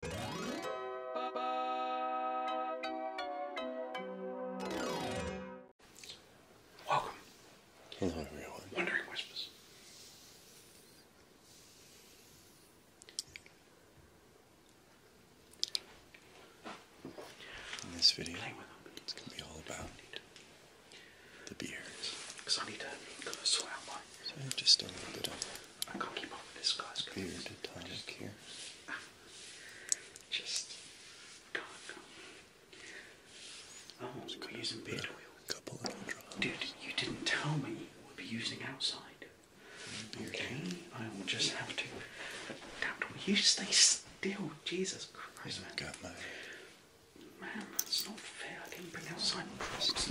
Welcome. everyone. Wondering Whispers. In this video, it's going to be all about the beers. So I just a little bit of. I can't keep up with this guy's beard Just here. Just can't go. Oh, going to are using beard oil. Couple little drops. Dude, you didn't tell me we'd be using outside. Mm, okay, I will just have to. Damn, will you stay still? Jesus Christ, I Got my. Man, that's not fair. I didn't bring outside props.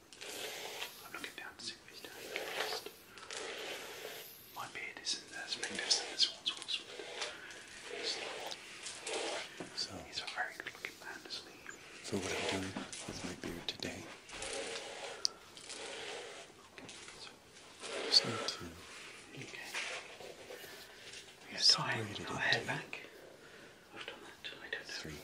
I'm looking down to see what he's doing My beard isn't as magnificent as Wadsworth's, but it's so, he's a very good man, isn't he? what I'm doing with my beard today, so. just okay. we separate tie it into back. I've done that. I don't Three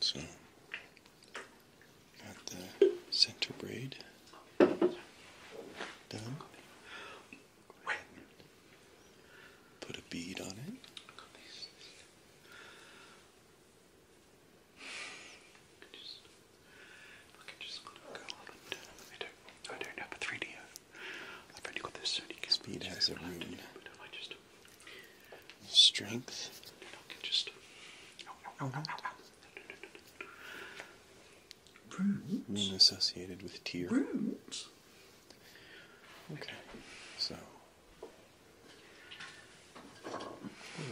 So, got the center braid done. Put a bead on it. I turned up a 3D I've only got this only Speed has a rune. But strength. Then I can just ow, ow, associated with tears. Runes. Okay. So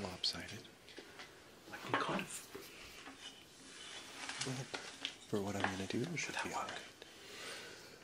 lopsided. I can kind of but for what I'm gonna do, should that be alright.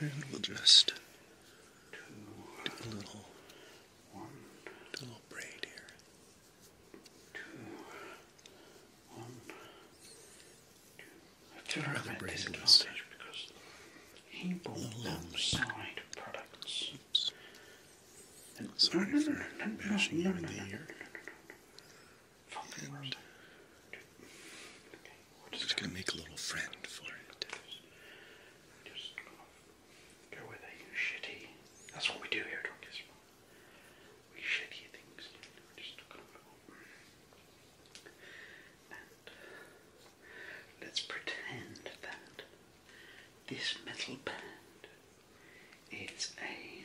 and we'll just do a little, one, do a little braid here. Two, one, two. It's a rather braidless. disadvantage because he bought them side products. And sorry for no, you in the ear. I'm just going to make a little friend for it. Just go with a shitty. That's what we do here at Orchestra. We shitty things. let's pretend that this metal band is a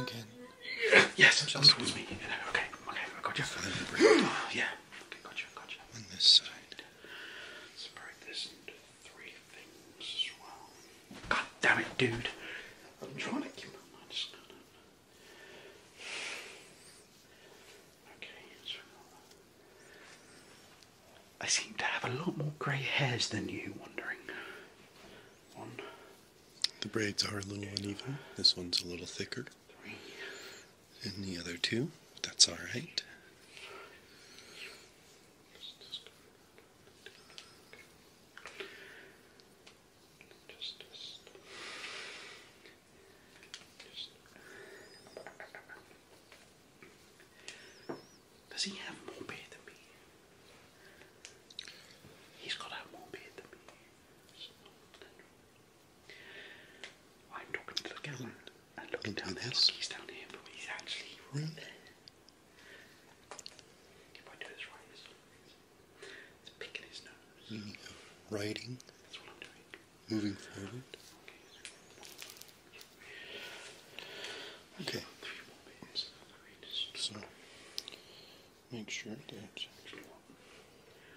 again. Yes, just towards me. Okay, okay, I got you. yeah, okay, gotcha, gotcha. And this side. God damn it, dude. I'm trying to keep my mind scattered. Okay, I seem to have a lot more grey hairs than you, wondering. One. The braids are a little uneven. This one's a little thicker. And the other two. that's all right. Does he have more beard He's got more beard I'm looking down the hill. He's down here, but he's actually right there. I do this right, it's, picking his nose. Mm, That's what I'm doing. Moving forward. okay. So, make sure that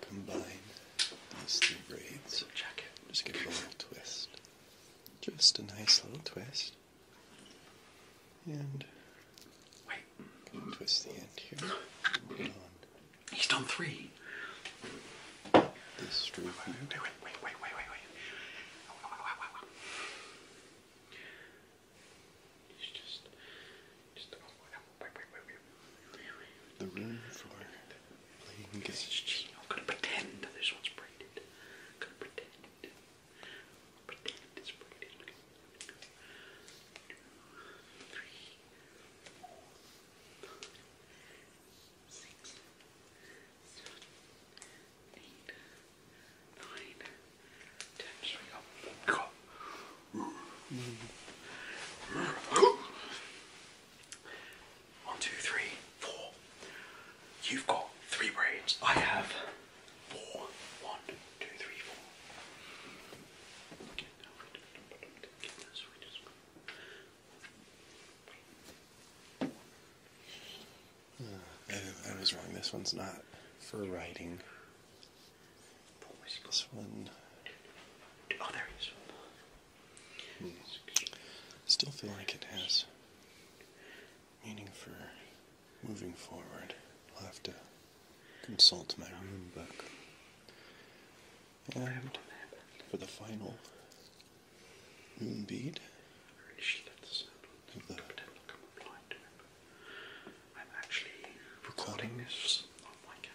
combine these three braids. Just give a little twist. Just a nice little twist. And wait. Twist the end here. He's done three. This wait, wait, wait, wait, wait, wait, wait. Just, just, the room for playing games. I'm gonna pretend this one's braided. gonna pretend. it's braided. Look at Two, three, four, five, six, seven, eight, nine, ten. we got. One, two, three, four. You've got three brains. I have four. One, two, three, four. Uh, I was wrong. This one's not for writing. This one. Oh, there is one. Still feel like it has meaning for moving forward. I'll have to consult my rune book. And for the final rune bead of the recording this on my camera.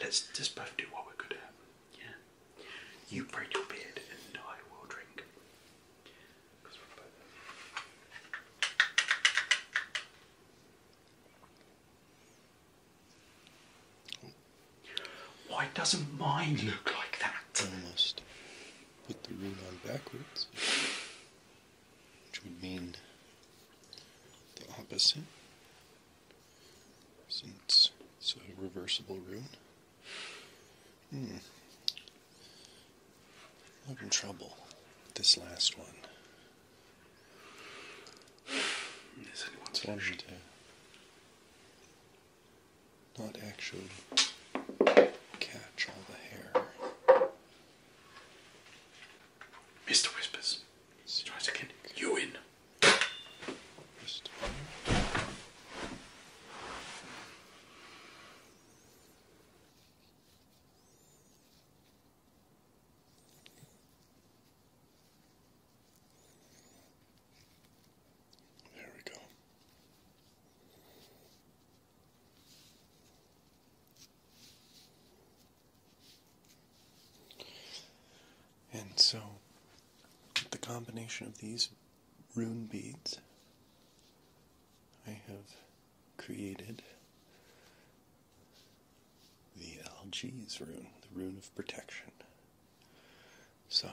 Let's just both do what we're good Yeah. You braid your beard and I will drink. Why doesn't mine look like that? Almost. Put the rule on backwards which would mean the opposite, since it's a reversible rune. Hmm. I'm in trouble with this last one. Is anyone's so Not actually catch all the hair. Mr. Whispers. Mr. Try it again. You in. There we go. And so, the combination of these rune beads, I have created the LG's rune, the rune of protection. So,